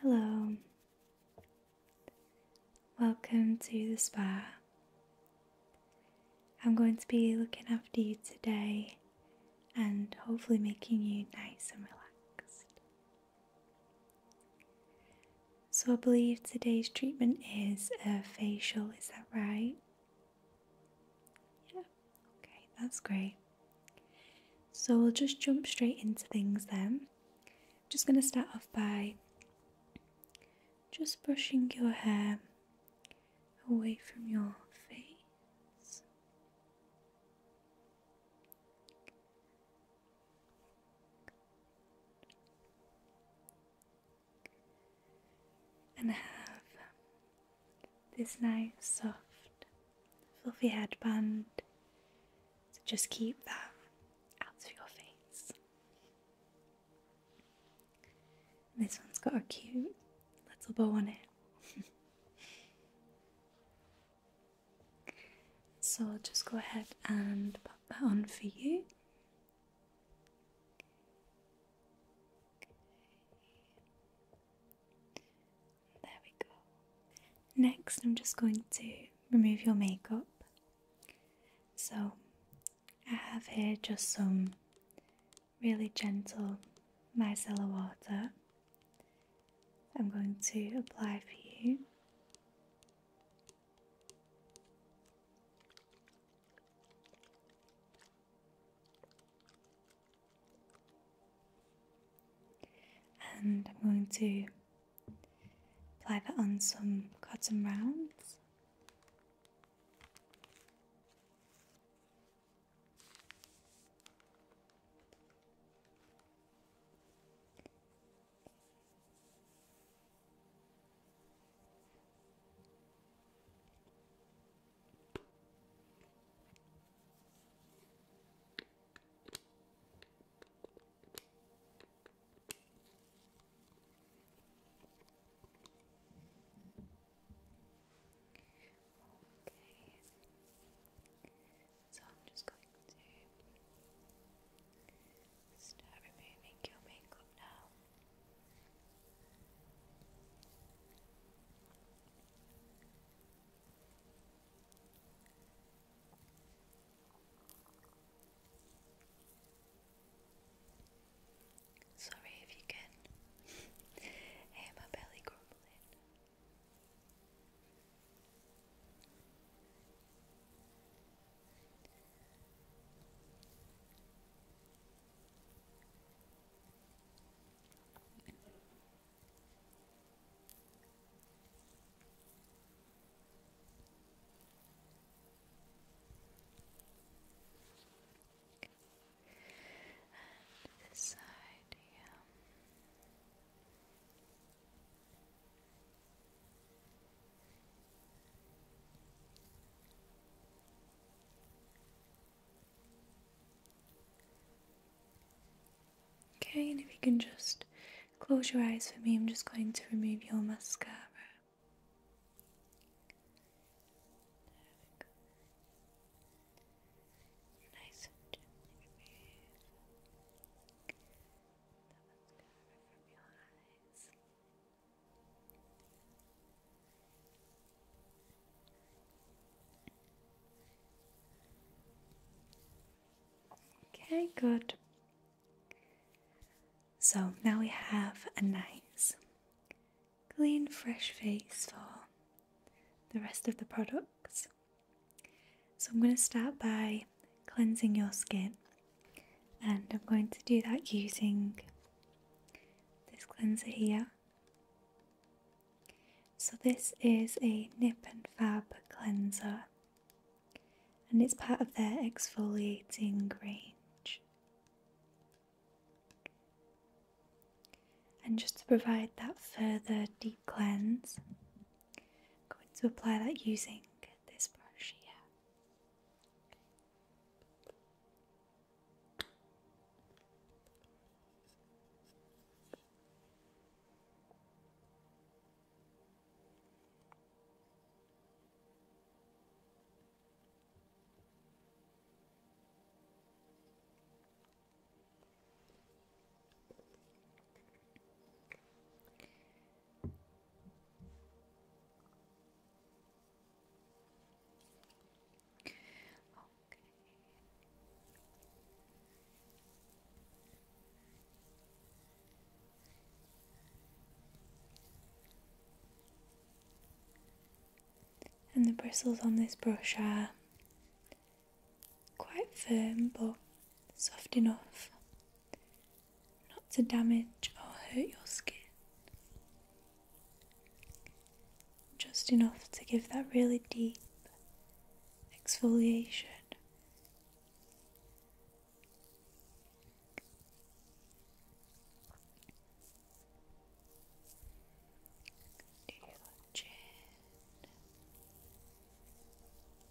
Hello, welcome to the spa. I'm going to be looking after you today and hopefully making you nice and relaxed. So, I believe today's treatment is a facial, is that right? Yeah, okay, that's great. So, we'll just jump straight into things then. just going to start off by just brushing your hair away from your face and have this nice, soft, fluffy headband. So just keep that out of your face. this one's got a cute little bow on it. So I'll just go ahead and put that on for you. There we go. Next, I'm just going to remove your makeup. So I have here just some really gentle micellar water. I'm going to apply for you. And I'm going to apply that on some cotton rounds. Okay. So I'm just going to Start removing your makeup now. Sorry if you can hear my belly grumbling. And this side, yeah. Okay, and if you can just close your eyes for me, I'm just going to remove your mascara. Nice Okay, good. So now we have a nice, clean, fresh face for the rest of the products. So I'm going to start by cleansing your skin. And I'm going to do that using this cleanser here. So, this is a Nip and Fab cleanser, and it's part of their exfoliating range. And just to provide that further deep cleanse, I'm going to apply that using this brush here. And the bristles on this brush are quite firm but soft enough not to damage or hurt your skin. Just enough to give that really deep exfoliation.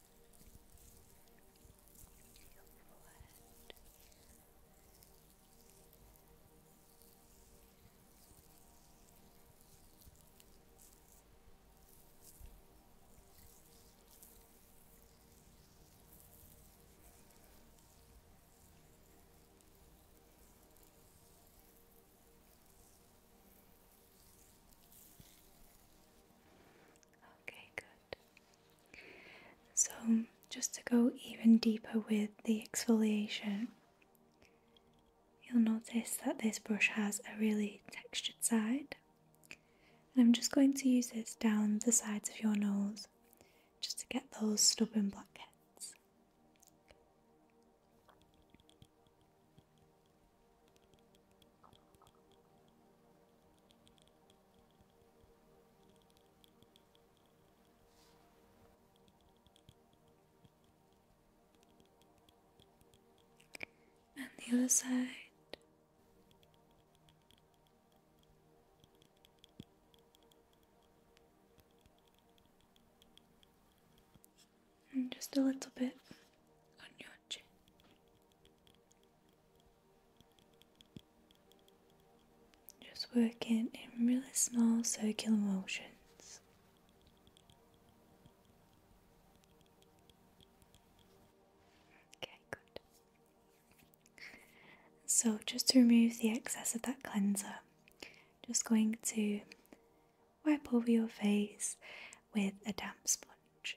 your forehead. Okay, good. So, just to go even deeper with the exfoliation, you'll notice that this brush has a really textured side. And I'm just going to use it down the sides of your nose just to get those stubborn blackheads. And the other side. And just a little bit on your chin. Just working in really small circular motions. Okay, good. So, just to remove the excess of that cleanser, just going to wipe over your face with a damp sponge.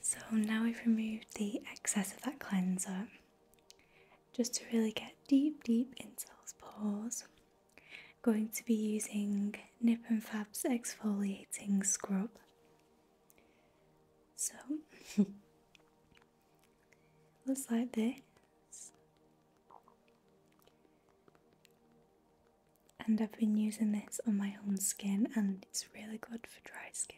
so now we've removed the excess of that cleanser just to really get deep, deep into those pores. going to be using Nip and Fab's exfoliating scrub. So looks like this. And I've been using this on my own skin, and it's really good for dry skin.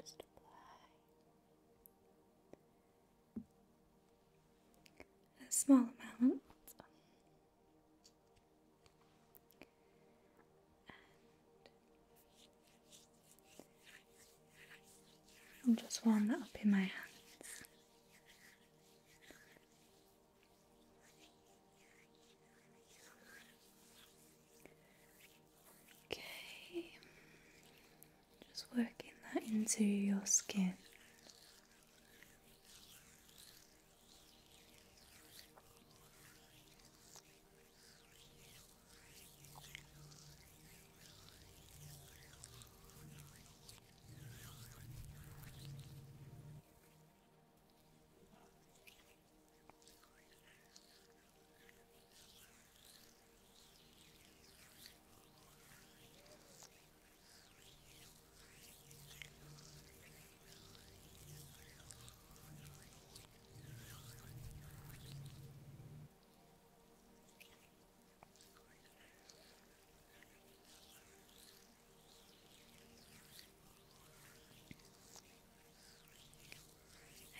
Just apply a small amount. I'll just warm that up in my hands. Okay. Just working that into your skin.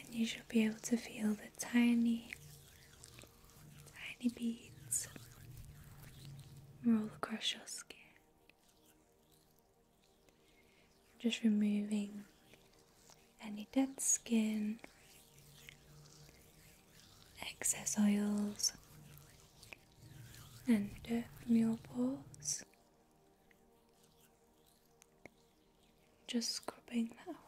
And you should be able to feel the tiny Tiny beads roll across your skin. Just removing any dead skin, excess oils, and dirt from your pores. Just scrubbing that away.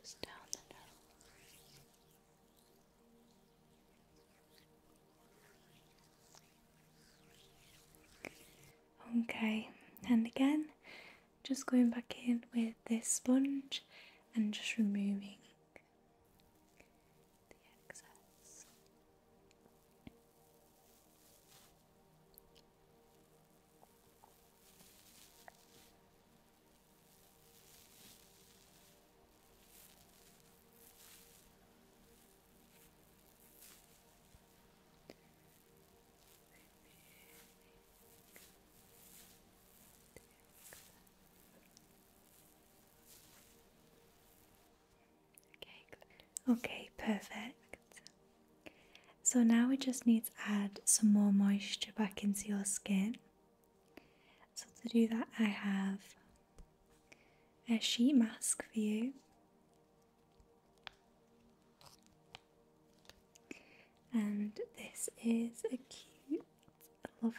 Just down the nose. Okay, and again, just going back in with this sponge and just removing the excess. Okay, perfect. So now we just need to add some more moisture back into your skin. So to do that, I have a sheet mask for you. And this is a cute, love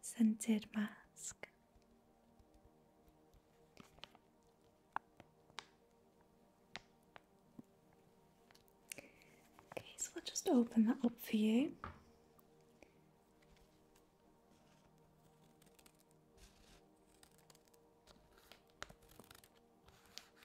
scented mask. Okay, so I'll just open that up for you.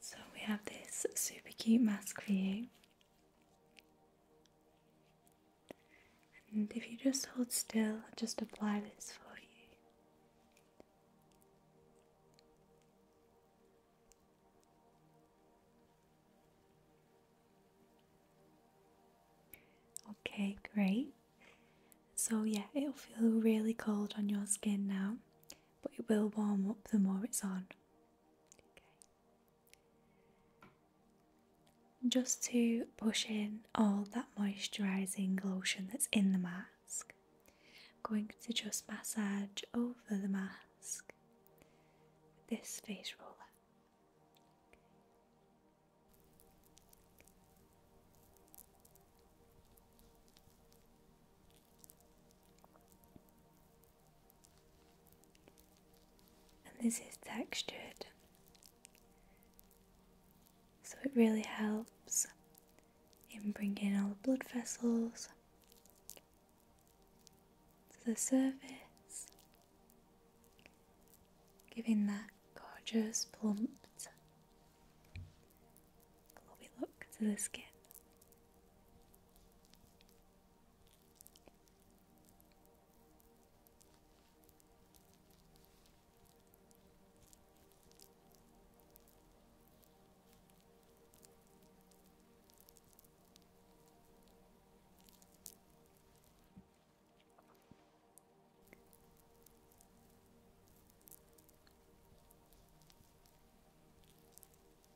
So we have this super cute mask for you. And if you just hold still, I'll just apply this for you. Okay, great. So, yeah, it'll feel really cold on your skin now, but it will warm up the more it's on. Just to push in all that moisturising lotion that's in the mask, I'm going to just massage over the mask with this face roller. And this is textured, so it really helps in bringing all the blood vessels to the surface, giving that gorgeous, plump, glowy look to the skin.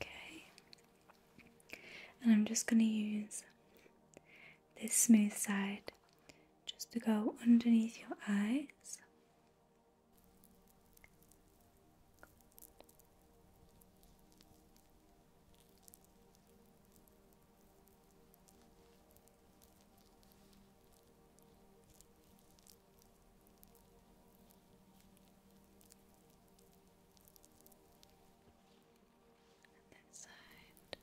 Okay, and I'm just going to use this smooth side just to go underneath your eyes. that side.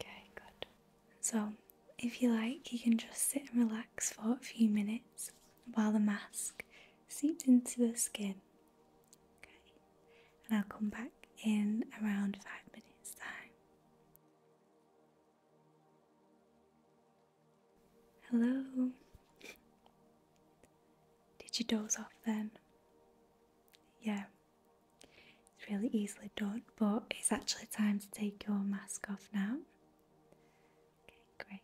Okay, good. So, if you like, you can just sit and relax for a few minutes while the mask seeps into the skin. Okay, and I'll come back in around five minutes' time. Hello? Did you doze off then? Yeah. It's really easily done, but it's actually time to take your mask off now. Okay, great.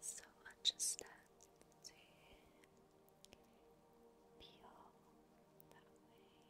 So I just have to that way.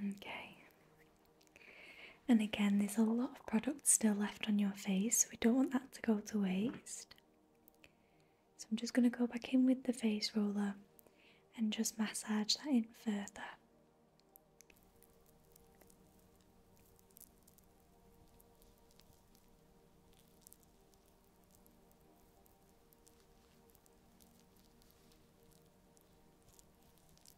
Okay. And again, there's a lot of product still left on your face. So we don't want that to go to waste. So I'm just going to go back in with the face roller and just massage that in further.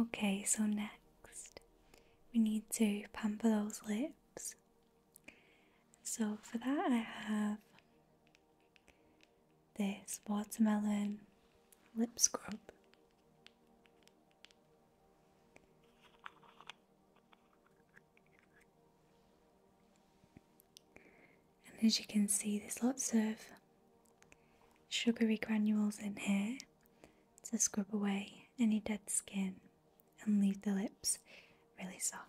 Okay, so next we need to pamper those lips. So for that, I have this watermelon lip scrub. And as you can see, there's lots of sugary granules in here, to scrub away any dead skin and leave the lips really soft.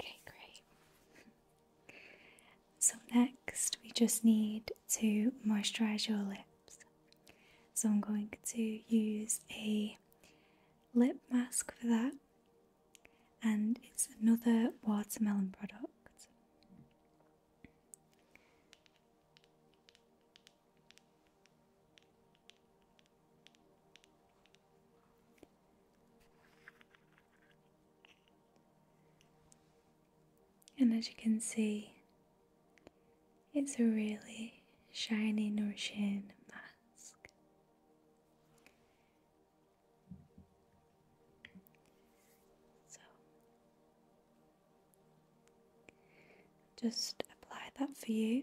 Okay, great. So, next we just need to moisturize your lips. So I'm going to use a lip mask for that, and it's another watermelon product. And as you can see, it's a really shiny, nourishing mask. So just apply that for you.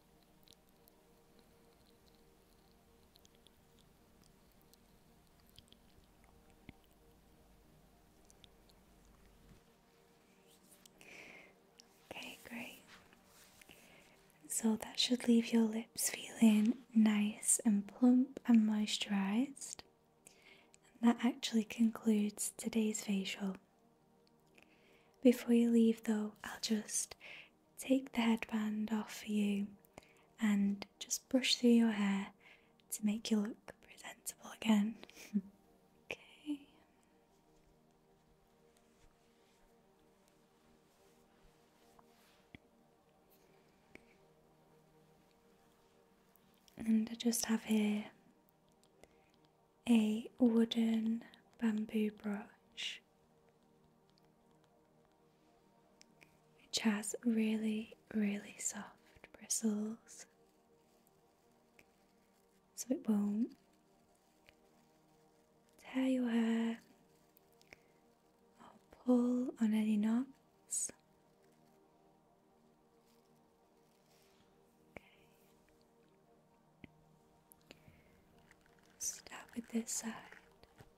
Okay, great. So that should leave your lips feeling nice and plump and moisturized. And that actually concludes today's facial. Before you leave, though, I'll just take the headband off for you and just brush through your hair to make you look presentable again. okay. And I just have here a wooden bamboo brush. Which has really, really soft bristles, so it won't tear your hair or pull on any knots. Start with this side.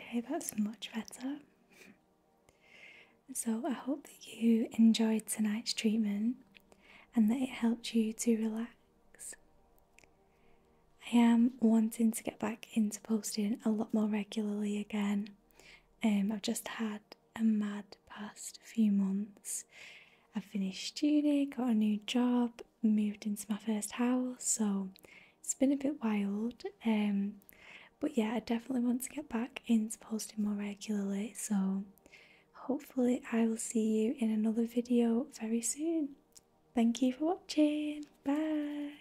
Okay, that's much better. so, I hope that you enjoyed tonight's treatment and that it helped you to relax. I am wanting to get back into posting a lot more regularly again. Um, I've just had a mad past few months. I finished uni, got a new job, moved into my first house, so it's been a bit wild. Um, but yeah, I definitely want to get back into posting more regularly, so hopefully, I will see you in another video very soon. Thank you for watching. Bye.